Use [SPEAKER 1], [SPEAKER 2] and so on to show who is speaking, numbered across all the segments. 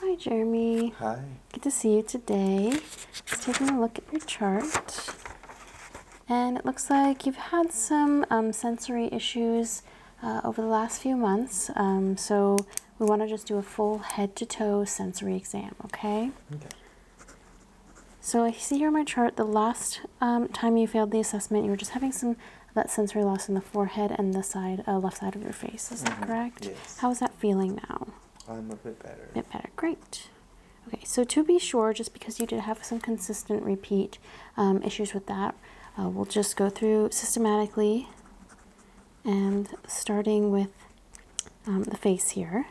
[SPEAKER 1] Hi, Jeremy. Hi. Good to see you today. Just taking a look at your
[SPEAKER 2] chart. And it looks like you've had some um, sensory issues uh, over the last few months. Um, so we want to just do a full head to toe sensory exam, okay? Okay. So I see here on my chart the last um, time you failed the assessment, you were just having some that sensory loss in the forehead and the side, uh, left side of your face. Is that mm-hmm. correct? Yes. How is that feeling now?
[SPEAKER 3] I'm a bit better. A
[SPEAKER 2] bit better. Great. Okay, so to be sure, just because you did have some consistent repeat um, issues with that, uh, we'll just go through systematically and starting with um, the face here.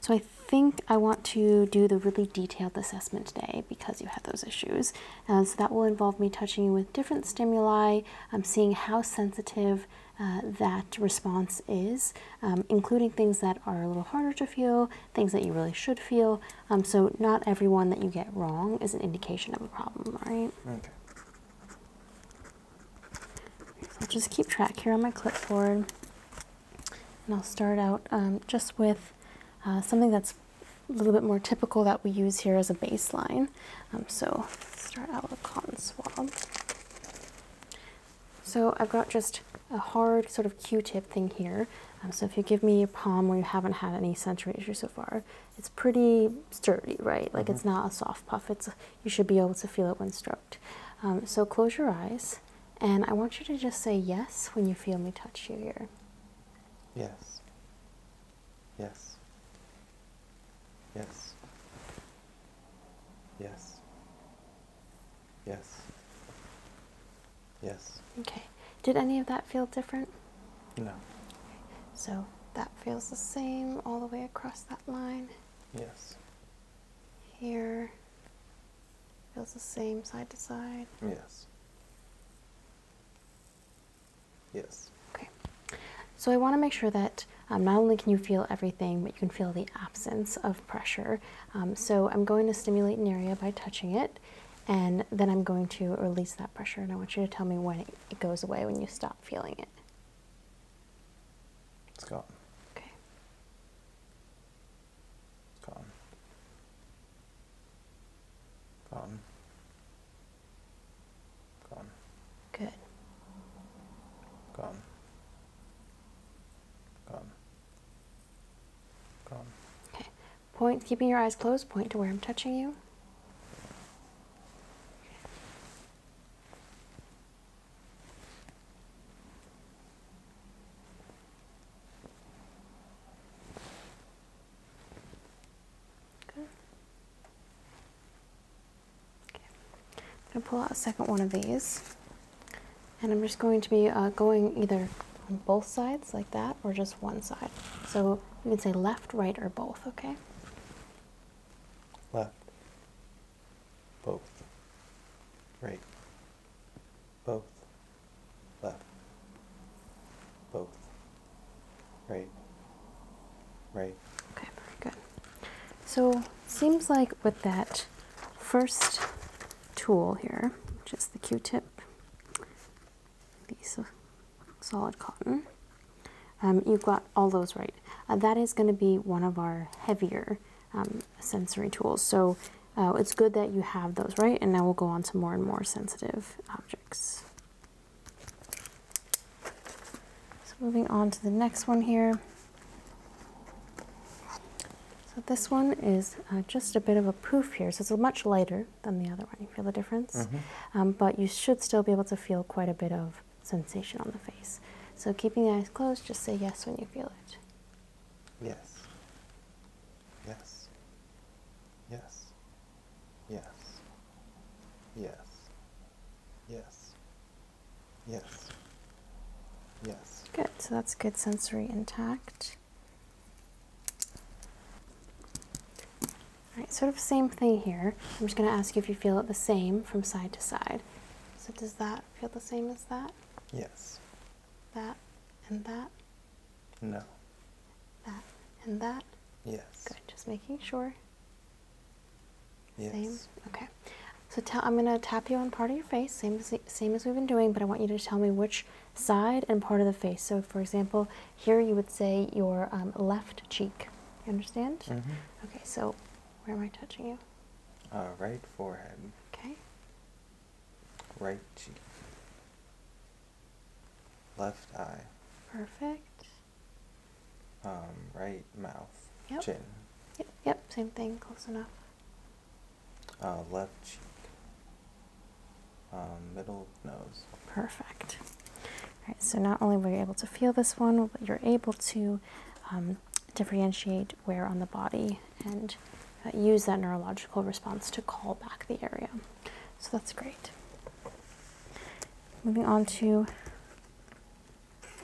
[SPEAKER 2] So I think I want to do the really detailed assessment today because you had those issues. Uh, so that will involve me touching you with different stimuli, um, seeing how sensitive uh, that response is, um, including things that are a little harder to feel, things that you really should feel. Um, so not everyone that you get wrong is an indication of a problem, right? Okay. I'll just keep track here on my clipboard. And I'll start out um, just with uh, something that's a little bit more typical that we use here as a baseline. Um, so start out with a cotton swab. So I've got just a hard sort of Q-tip thing here. Um, so if you give me your palm where you haven't had any sensory issues so far, it's pretty sturdy, right? Like it's mm-hmm. not a soft puff. It's you should be able to feel it when stroked. so close your eyes and I want you to just say yes when you feel me touch you here.
[SPEAKER 1] Yes. Yes. Yes. Yes. Yes.
[SPEAKER 2] Okay. Did any of that feel different? No. So that feels the same all the way across that line? Yes. Here. Feels the same side to side?
[SPEAKER 1] Yes. Yes. Okay.
[SPEAKER 2] So I want to make sure that um, not only can you feel everything, but you can feel the absence of pressure. Um, so I'm going to stimulate an area by touching it, and then I'm going to release that pressure. And I want you to tell me when it, it goes away, when you stop feeling it.
[SPEAKER 1] It's gone. Okay.
[SPEAKER 3] Cotton. Cotton. Cotton. Good. Cotton. Cotton. Cotton.
[SPEAKER 2] Okay. Point, keeping your eyes closed, point to where I'm touching you. I'm going to pull out a second one of these, and I'm just going to be uh, going either on both sides like that or just one side. So you can say left, right, or both, okay?
[SPEAKER 3] Left, both, right both, left, both, right, right.
[SPEAKER 2] Okay, very good. So seems like with that first tool here, which is the Q-tip, piece solid cotton, um, you got all those right. Uh, that is going to be one of our heavier um, sensory tools. So uh, it's good that you have those, right? And now we'll go on to more and more sensitive objects. So moving on to the next one here. So this one is uh, just a bit of a pouf here. So it's much lighter than the other one. You feel the difference? Mm-hmm. Um, but you should still be able to feel quite a bit of sensation on the face. So keeping the eyes closed, just say yes when you feel it.
[SPEAKER 1] Yes. Yes. Yes. Yes. Yes. Yes. Yes. Yes.
[SPEAKER 2] Good. So that's good sensory intact. All right, sort of same thing here. I'm just going to ask you if you feel it the same from side to side. So does that feel the same as that? Yes that, and that? No. That, and that? Yes. Good. Just making sure. Yes. Same? Okay. So tell, I'm going to tap you on part of your face, same as, same as we've been doing, but I want you to tell me which side and part of the face. So, for example, here you would say your um, left cheek. You understand? Mm -hmm. Okay, so where am I touching you?
[SPEAKER 3] Uh, right forehead. Okay right cheek,
[SPEAKER 1] left eye. Perfect. Um, right mouth, chin.
[SPEAKER 2] Yep, yep, same thing, close enough.
[SPEAKER 1] Uh, left cheek, um, middle nose. Perfect. All
[SPEAKER 2] right, so not only were you able to feel this one, but you're able to um, differentiate wear on the body and uh, use that neurological response to call back the area. So that's great. Moving on to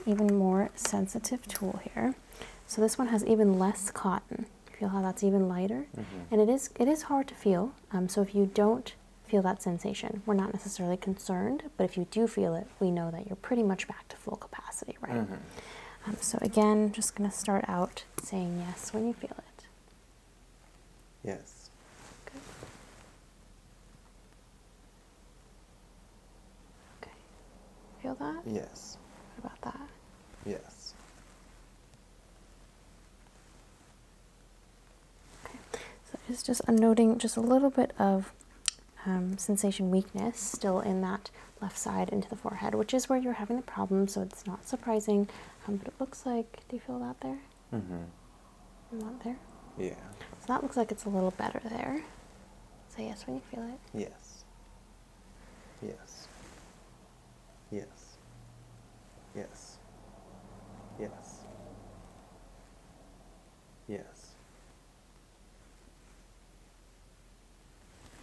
[SPEAKER 2] even more sensitive tool here. So this one has even less cotton. Feel how that's even lighter? Mm-hmm. And it is, it is hard to feel. Um, so if you don't feel that sensation, we're not necessarily concerned, but if you do feel it, we know that you're pretty much back to full capacity, right? Mm-hmm. Um, so, again, just going to start out saying yes when you feel it.
[SPEAKER 1] Yes. Good.
[SPEAKER 2] Okay. Feel that?
[SPEAKER 1] Yes. about that? Yes.
[SPEAKER 2] Okay. So, it's just a noting just a little bit of. Um, sensation weakness still in that left side into the forehead, which is where you're having the problem, so it's not surprising. Um, but it looks like, do you feel that there?
[SPEAKER 3] Mm-hmm. Not there? Yeah.
[SPEAKER 2] So that looks like it's a little better there. Say yes when you feel
[SPEAKER 1] it. Yes. Yes. Yes. Yes. Yes.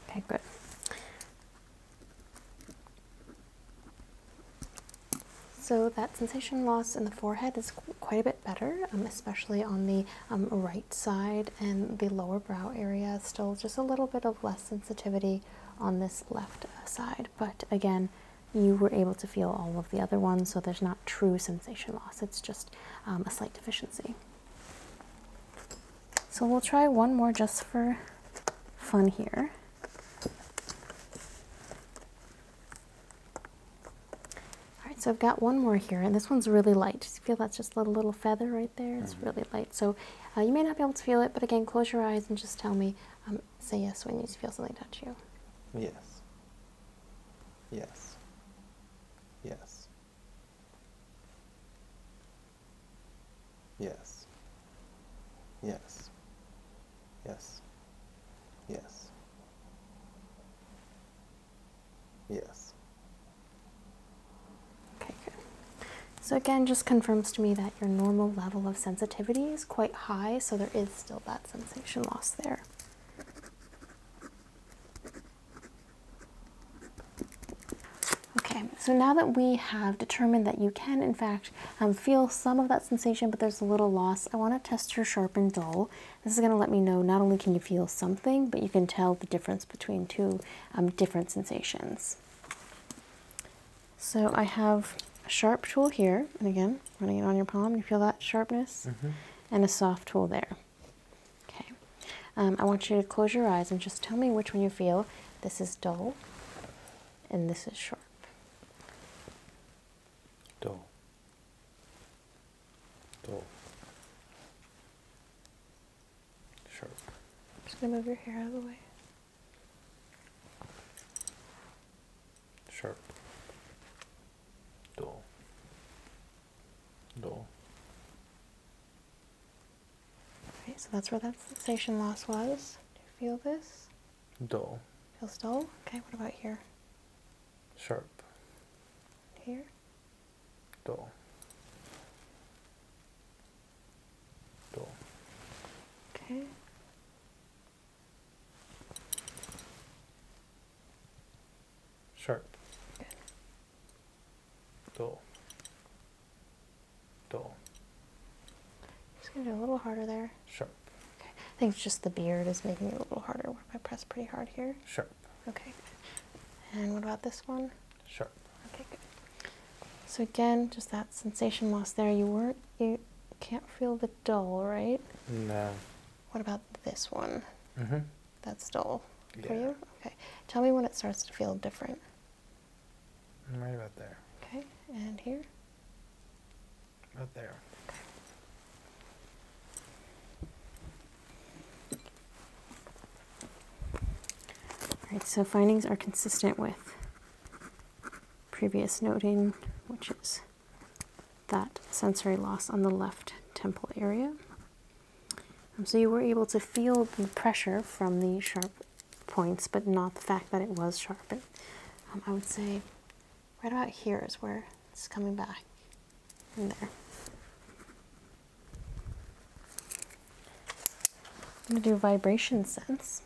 [SPEAKER 1] Okay, good.
[SPEAKER 2] So that sensation loss in the forehead is quite a bit better, um, especially on the um, right side and the lower brow area. Still just a little bit of less sensitivity on this left uh, side, but again, you were able to feel all of the other ones, so there's not true sensation loss. It's just um, a slight deficiency. So we'll try one more just for fun here. Alright, so I've got one more here, and this one's really light. You feel that's just a little, little feather right there? It's mm-hmm. really light. So uh, you may not be able to feel it, but again, close your eyes and just tell me, um, say yes when you feel something touch you.
[SPEAKER 1] Yes. Yes. Yes. Yes. Yes. Yes. Yes. Yes.
[SPEAKER 2] Okay, good. So again, just confirms to me that your normal level of sensitivity is quite high, so there is still that sensation loss there. Okay, so now that we have determined that you can, in fact, um, feel some of that sensation, but there's a little loss, I want to test your sharp and dull. This is going to let me know not only can you feel something, but you can tell the difference between two um, different sensations. So I have a sharp tool here, and again, running it on your palm, you feel that sharpness, mm-hmm. and a soft tool there. Okay. Um, I want you to close your eyes and just tell me which one you feel. This is dull, and this is sharp.
[SPEAKER 1] Dull. Dull.
[SPEAKER 2] Sharp. just gonna move your hair out of the way. Sharp.
[SPEAKER 3] Dull. Dull.
[SPEAKER 2] Right, so that's where that sensation loss was. Do you feel this? Dull. Feels dull? Okay, what about here? Sharp. Here?
[SPEAKER 3] Dull. Dull. Okay. Sharp. Good. Dull. Do.
[SPEAKER 2] It's going to do a little harder there. Sure. Okay. I think it's just the beard is making it a little harder. What if I press pretty hard here? Sure. Okay. And what about this one?
[SPEAKER 3] Sure. Okay, good.
[SPEAKER 2] So again, just that sensation loss there. You weren't, you can't feel the dull, right? No. What about this one? hmm That's dull. For you? Okay. Tell me when it starts to feel different.
[SPEAKER 3] Mm, right about there.
[SPEAKER 2] Okay, and here? Right there. Okay. All right, so findings are consistent with previous noting, which is that sensory loss on the left temple area. Um, so you were able to feel the pressure from the sharp points, but not the fact that it was sharp. Um, I would say right about here is where it's coming back, in there. I'm going to do vibration sense.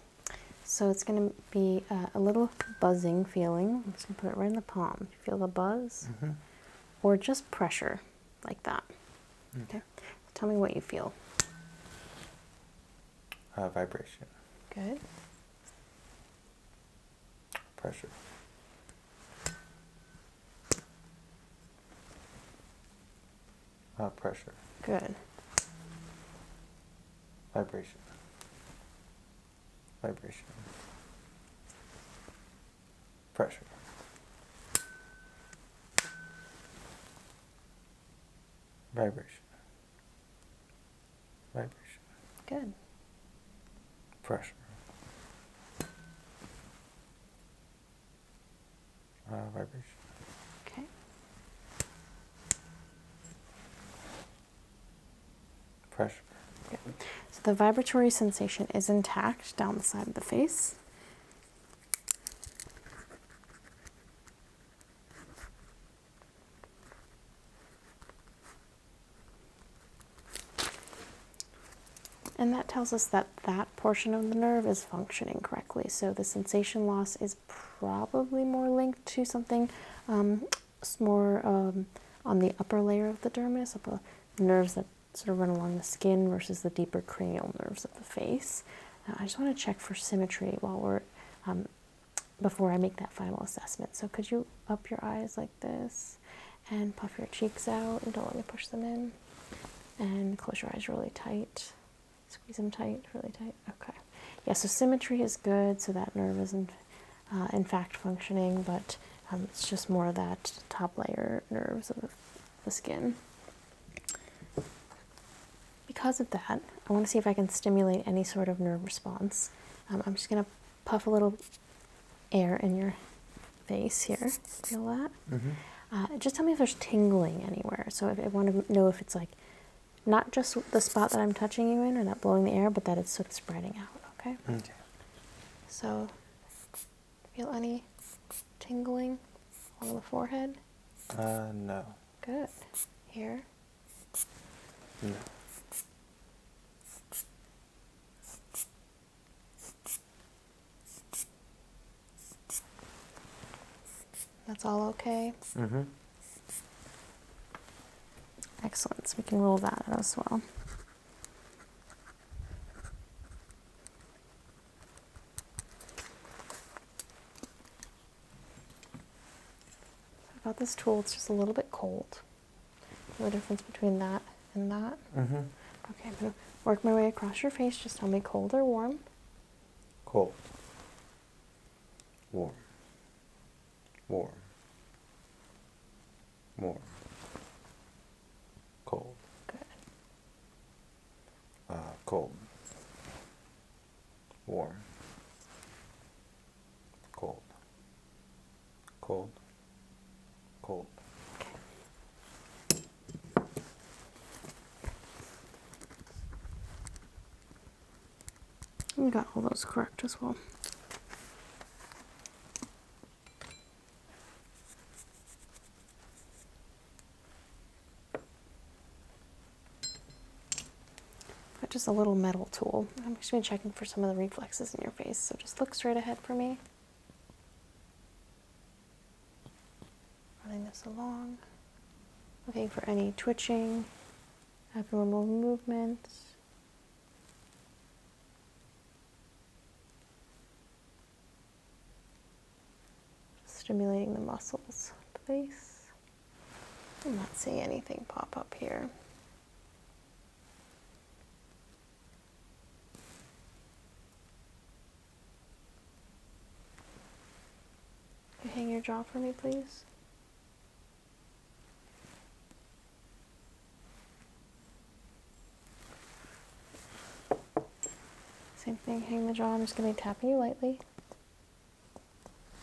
[SPEAKER 2] So it's going to be a little buzzing feeling. I'm put it right in the palm. feel the buzz? Mm-hmm. Or just pressure, like that. Mm. Okay. Tell me what you feel.
[SPEAKER 3] Uh, vibration. Good. Pressure. Uh, pressure. Good. Vibration. Vibration pressure. Vibration. Vibration. Good. Pressure. Uh, vibration. Okay. Pressure. Good.
[SPEAKER 2] So the vibratory sensation is intact down the side of the face. And that tells us that that portion of the nerve is functioning correctly. So the sensation loss is probably more linked to something um, more um, on the upper layer of the dermis, of the nerves that sort of run along the skin versus the deeper cranial nerves of the face. Uh, I just want to check for symmetry while we're um, before I make that final assessment. So could you up your eyes like this and puff your cheeks out and don't let me push them in and close your eyes really tight. Squeeze them tight, really tight. Okay. Yeah, so symmetry is good, so that nerve is in, uh, in fact functioning, but um, it's just more that top layer nerves of the skin. Because of that, I want to see if I can stimulate any sort of nerve response. Um, I'm just going to puff a little air in your face here. Feel that? Mm-hmm. Uh, just tell me if there's tingling anywhere. So I want to know if it's like not just the spot that I'm touching you in or not blowing the air, but that it's spreading out. Okay. Okay. Mm. So Feel any tingling on the forehead?
[SPEAKER 1] Uh, no.
[SPEAKER 2] Good. Here? No. That's all okay? Mm-hmm. Excellent. So we can rule that out as well. About this tool, it's just a little bit cold. The difference between that and that. -hmm. Okay, I'm gonna work my way across your face. Just tell me cold or warm.
[SPEAKER 3] Cold. Warm. Warm. Warm. Cold. Good uh, cold, warm, cold, cold, cold.
[SPEAKER 2] We got all those correct as well just a little metal tool. I'm just been checking for some of the reflexes in your face, so just look straight ahead for me. Running this along, looking for any twitching, abnormal movements. Stimulating the muscles please. I'm not seeing anything pop up here. You hang your jaw for me, please. Same thing, hang the jaw. I'm just going to be tapping you lightly.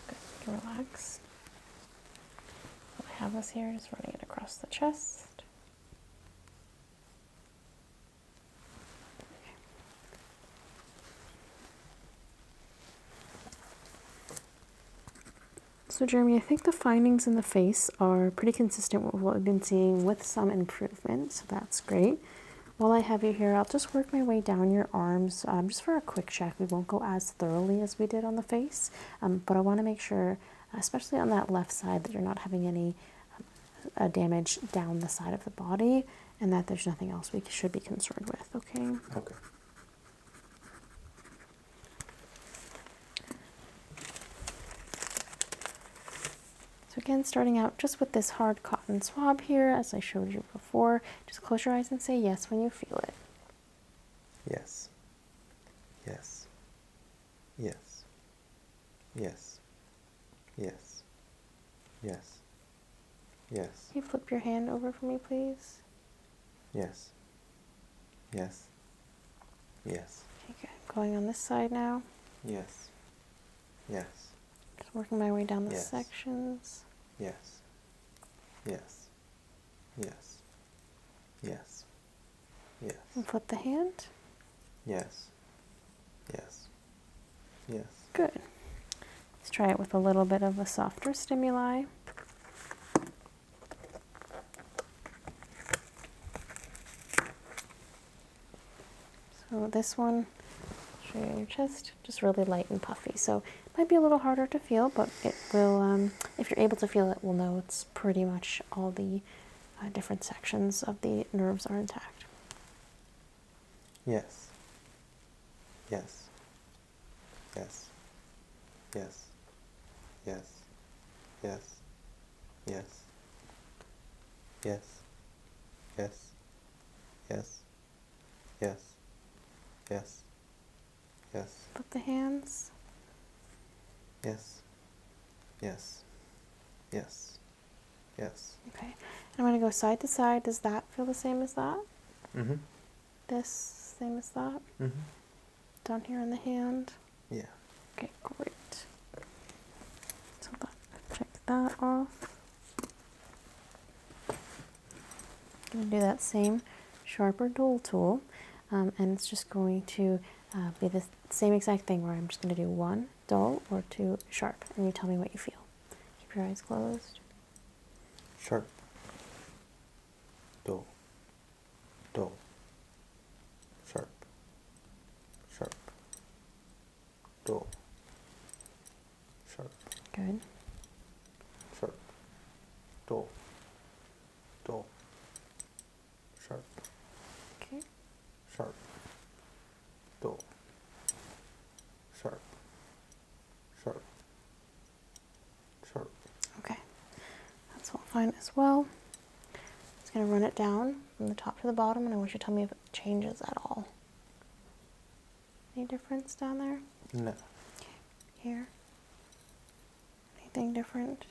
[SPEAKER 2] Good, relax. I have this here, just running it across the chest. So, Jeremy, I think the findings in the face are pretty consistent with what we've been seeing with some improvement, so that's great. While I have you here, I'll just work my way down your arms um, just for a quick check. We won't go as thoroughly as we did on the face, um, but I want to make sure, especially on that left side, that you're not having any uh, damage down the side of the body and that there's nothing else we should be concerned with, okay? Okay. So again, starting out just with this hard cotton swab here, as I showed you before, just close your eyes and say yes when you feel it.
[SPEAKER 1] Yes. Yes. Yes. Yes. Yes. Yes.
[SPEAKER 2] you flip your hand over for me, please?
[SPEAKER 1] Yes. Yes. Yes.
[SPEAKER 2] Okay, Going on this side now.
[SPEAKER 1] Yes. Yes.
[SPEAKER 2] Just working my way down the sections.
[SPEAKER 1] Yes. Yes. Yes. Yes. Yes.
[SPEAKER 2] And flip the hand.
[SPEAKER 1] Yes. Yes. Yes. Good.
[SPEAKER 2] Let's try it with a little bit of a softer stimuli. So this one, straight on your chest, just really light and puffy. So it might be a little harder to feel, but it will, um, if you're able to feel it, we'll know it's pretty much all the uh, different sections of the nerves are intact.
[SPEAKER 1] Yes. Yes. Yes. Yes. Yes. Yes. Yes yes, yes, yes, yes, yes, yes.
[SPEAKER 2] But the hands?
[SPEAKER 1] Yes, yes, yes, yes.
[SPEAKER 2] Okay, I'm going to go side to side. Does that feel the same as that? Mm-hmm. This, same as that? Mm-hmm. Down here in the hand? Yeah. Okay, great. So that, check that off. going to do that same sharper dull tool um, and it's just going to uh, be the same exact thing where I'm just going to do one dull or two sharp and you tell me what you feel. Keep your eyes closed.
[SPEAKER 3] Sharp. Dull. Dull. Sharp.
[SPEAKER 1] Sharp. Two. Sharp. Good. Sharp. Two.
[SPEAKER 3] Two. Sharp. Okay. Sharp. Two. Sharp. Sharp.
[SPEAKER 2] Sharp. Okay. That's all fine as well. Just gonna run it down from the top to the bottom and I want you to tell me if it changes at all. Any difference down there? No. Here? Anything different?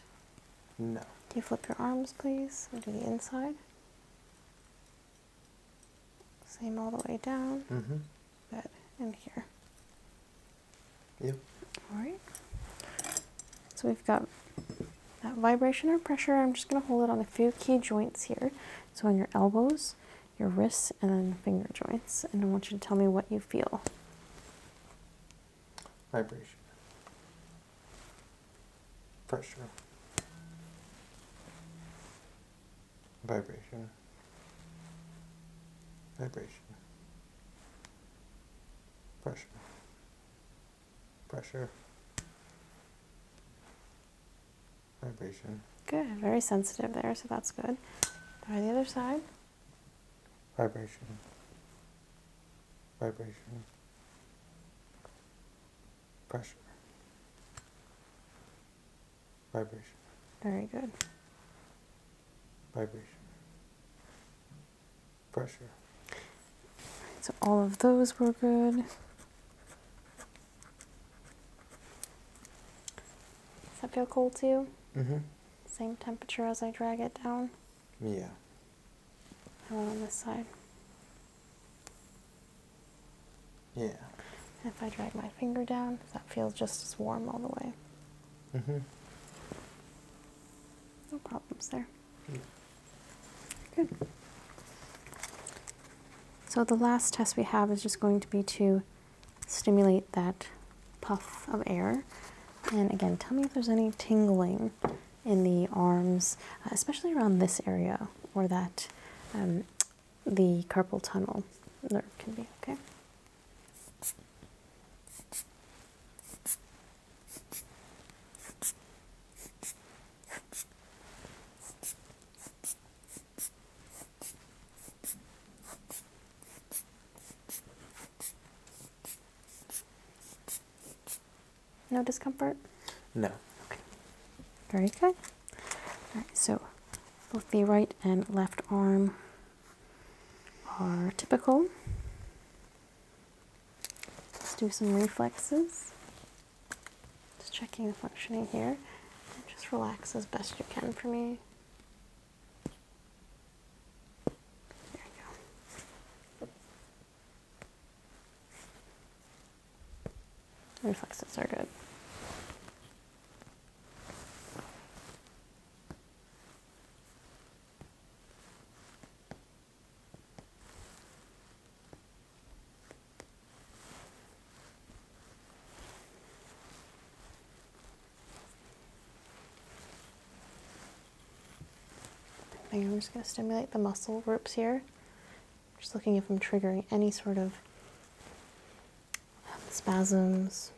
[SPEAKER 2] No. Can you flip your arms, please? And do the inside. Same all the way down. Mm-hmm. Good. And here. Yep. All right. So we've got that vibration or pressure, I'm just going to hold it on a few key joints here. So on your elbows, your wrists, and then finger joints. And I want you to tell me what you feel.
[SPEAKER 3] Vibration. Pressure. Vibration. Vibration. Pressure pressure, vibration.
[SPEAKER 2] Good, very sensitive there, so that's good. Try the other side.
[SPEAKER 3] Vibration, vibration, pressure, vibration. Very good. Vibration, pressure.
[SPEAKER 2] So all of those were good. Does that feel cold too? Mm-hmm. Same temperature as I drag it down? Yeah. How about on this side? Yeah. if I drag my finger down, does that feel just as warm all the way. Mm-hmm. No problems there. Good. So the last test we have is just going to be to stimulate that puff of air. And again, tell me if there's any tingling in the arms, uh, especially around this area or that um, the carpal tunnel nerve can be, okay? No discomfort?
[SPEAKER 1] No. Okay.
[SPEAKER 2] Very good. All right, so both the right and left arm are typical. Let's do some reflexes. Just checking the functioning here. just relax as best you can for me. There you go. reflexes are good. I'm just going to stimulate the muscle groups here. Just looking if I'm triggering any sort of spasms.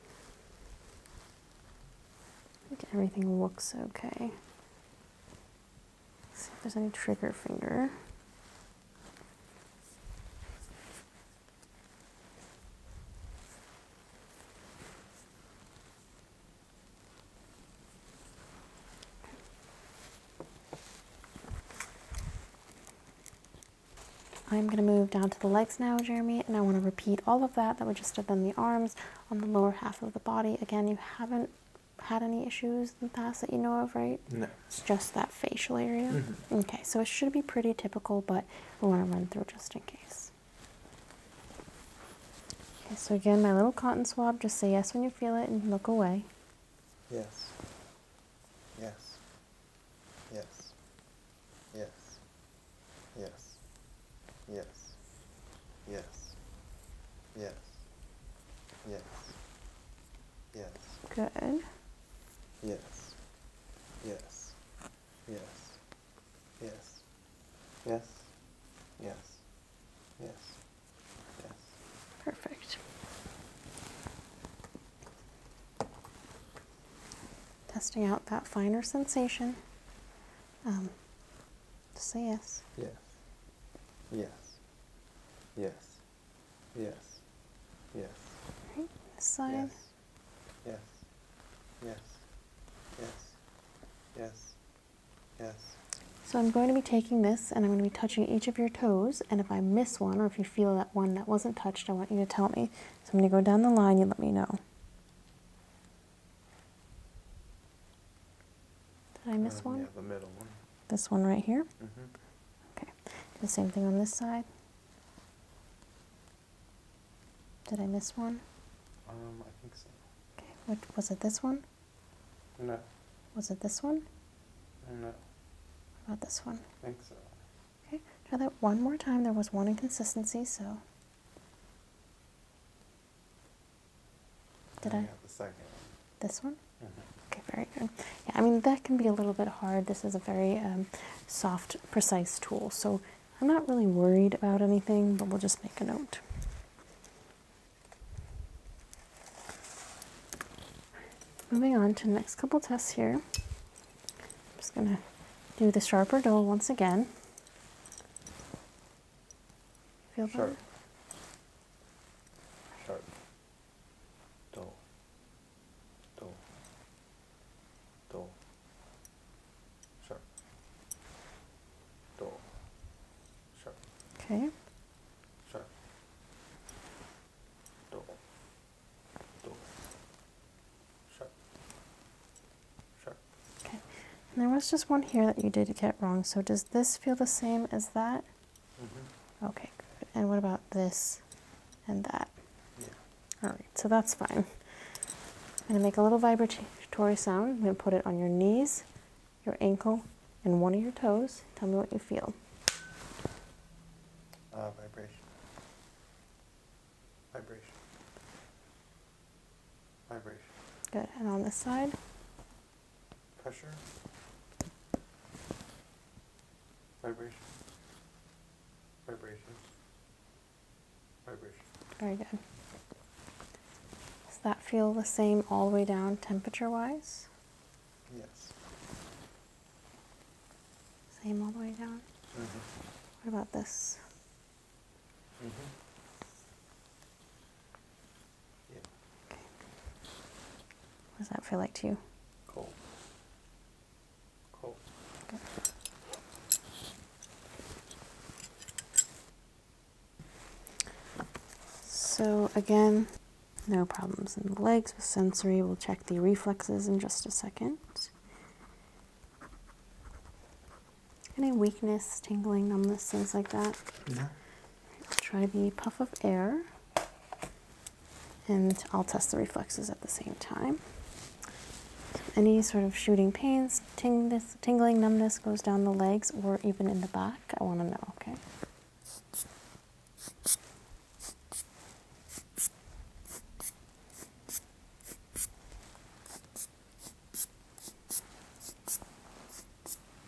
[SPEAKER 2] everything looks okay see if there's any trigger finger. I'm going to move down to the legs now, Jeremy, and I want to repeat all of that that we just did on the arms, on the lower half of the body. Again, you haven't had any issues in the past that you know of, right? No. It's just that facial area. Mm -hmm. Okay, so it should be pretty typical, but we want to run through just in case. Okay, so again, my little cotton swab, just say yes when you feel it and look away.
[SPEAKER 3] Yes.
[SPEAKER 1] Yes. Yes. Yes. Yes. Yes. Yes. Yes. Yes. Yes. Good. Yes. Yes. Yes. Yes. Yes. Yes. Yes. Yes. Perfect.
[SPEAKER 2] Testing out that finer sensation. Um, just say yes.
[SPEAKER 1] Yes. Yes. Yes. Yes. Yes.
[SPEAKER 2] Right, this
[SPEAKER 1] Yes. Yes. Yes. Yes. Yes.
[SPEAKER 2] So I'm going to be taking this and I'm going to be touching each of your toes. And if I miss one or if you feel that one that wasn't touched, I want you to tell me. So I'm going to go down the line. You let me know. Did I miss uh, one? Yeah, the middle one.
[SPEAKER 3] This one right here? Mm -hmm.
[SPEAKER 2] Okay, the same thing on this side. Did I miss one?
[SPEAKER 3] Um, I think so.
[SPEAKER 2] Okay, what was it? This one? No. Was it this one? No. What about this one? I think so. Okay, try that one more time. There was one inconsistency, so.
[SPEAKER 1] Did I? I? the second one. This one? Okay,
[SPEAKER 2] very good. Yeah, I mean, that can be a little bit hard. This is a very um, soft, precise tool, so I'm not really worried about anything, but we'll just make a note. Moving on to the next couple tests here. I'm just going to do the sharper dull once again.
[SPEAKER 3] Feel better? Sharp. Sharp do, do, do, sharp, do, sharp. Okay. Sharp. Do,
[SPEAKER 2] do, sharp, sharp. Okay. there was just one here that you did get wrong. So does this feel the same as that? Mm-hmm. Okay, And what about this and that? Yeah. All right, so that's fine. I'm going to make a little vibratory sound. I'm going to put it on your knees, your ankle, and one of your toes. Tell me what you feel.
[SPEAKER 3] Uh, vibration. Vibration. Vibration.
[SPEAKER 2] Good. And on this side?
[SPEAKER 3] pressure, vibration, vibrations, vibrations.
[SPEAKER 2] Very good. Does that feel the same all the way down temperature wise? Yes. Same all the way down? Mm -hmm. What about this? Mm -hmm. Yeah. Okay. What does that feel like to you? Cold. Cold. Okay. So again, no problems in the legs with sensory. We'll check the reflexes in just a second. Any weakness, tingling, numbness, things like that? No. try the puff of air and I'll test the reflexes at the same time. Any sort of shooting pains, ting tingling, numbness goes down the legs or even in the back. I want to know, okay?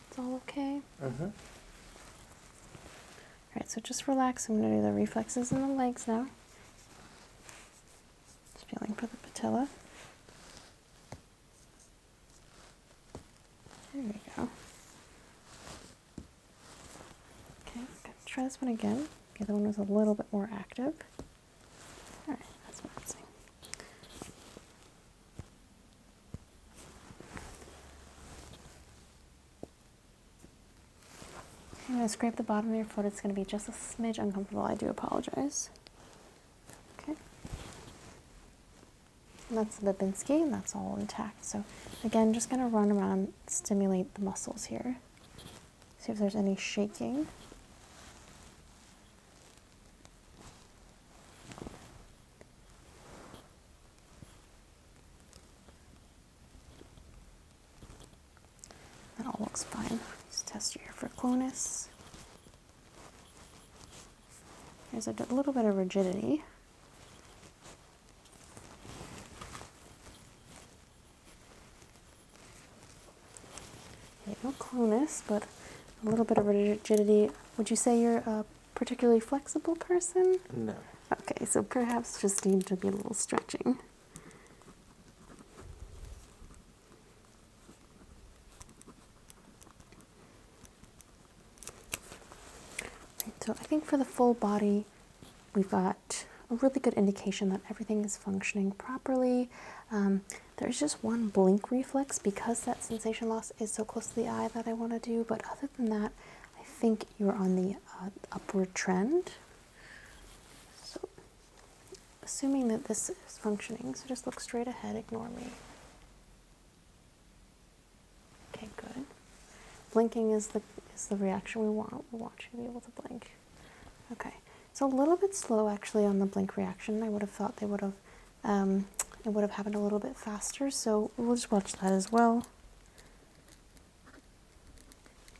[SPEAKER 2] It's all okay? Mm-hmm. Alright, so just relax. I'm going to do the reflexes in the legs now. Just feeling for the patella. There we go. Okay, gonna try this one again. The other one was a little bit more active. Alright, that's what I'm seeing. I'm going to scrape the bottom of your foot. It's going to be just a smidge uncomfortable. I do apologize. Okay. And that's Lipinski, and that's all intact. So again, just going to run around, stimulate the muscles here. See if there's any shaking. That all looks fine. Let's test your here for clonus. There's a little bit of rigidity. No clonus, but a little bit of rigidity. Would you say you're? Uh, particularly flexible person? No. Okay, so perhaps just need to be a little stretching. so I think for the full body, we've got a really good indication that everything is functioning properly. Um, there's just one blink reflex because that sensation loss is so close to the eye that I want to do, but other other that, I think you're on the uh, upward trend. So, assuming that this is functioning, so just look straight ahead, ignore me. Okay, good. Blinking is the is the reaction we want. We want you to be able to blink. Okay, it's a little bit slow actually on the blink reaction. I would have thought they would have um, it would have happened a little bit faster. So we'll just watch that as well.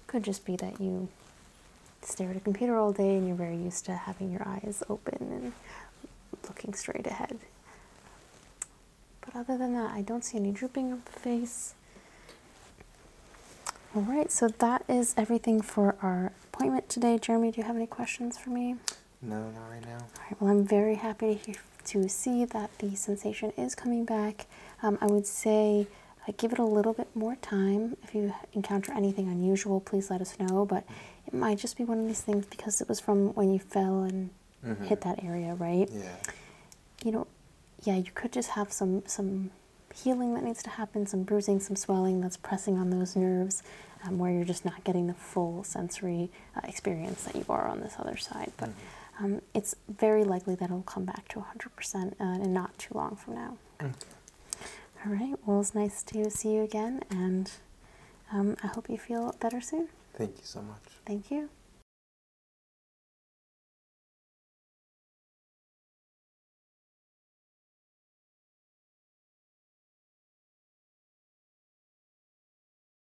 [SPEAKER 2] Could just be that you stare at a computer all day and you're very used to having your eyes open and looking straight ahead. But other than that, I don't see any drooping of the face. All right, so that is everything for our appointment today. Jeremy, do you have any questions for me?
[SPEAKER 1] No, not right now.
[SPEAKER 2] well, I'm very happy to hear to see that the sensation is coming back. Um, I would say give it a little bit more time. If you encounter anything unusual, please let us know. But it might just be one of these things because it was from when you fell and mm-hmm. hit that area, right? Yeah. You know, yeah, you could just have some some healing that needs to happen, some bruising, some swelling that's pressing on those nerves, um, where you're just not getting the full sensory uh, experience that you are on this other side. But mm-hmm. um, it's very likely that it'll come back to 100% and uh, not too long from now. Mm. All right. Well, it's nice to see you
[SPEAKER 1] again, and um, I hope you feel better soon. Thank you so much. Thank you.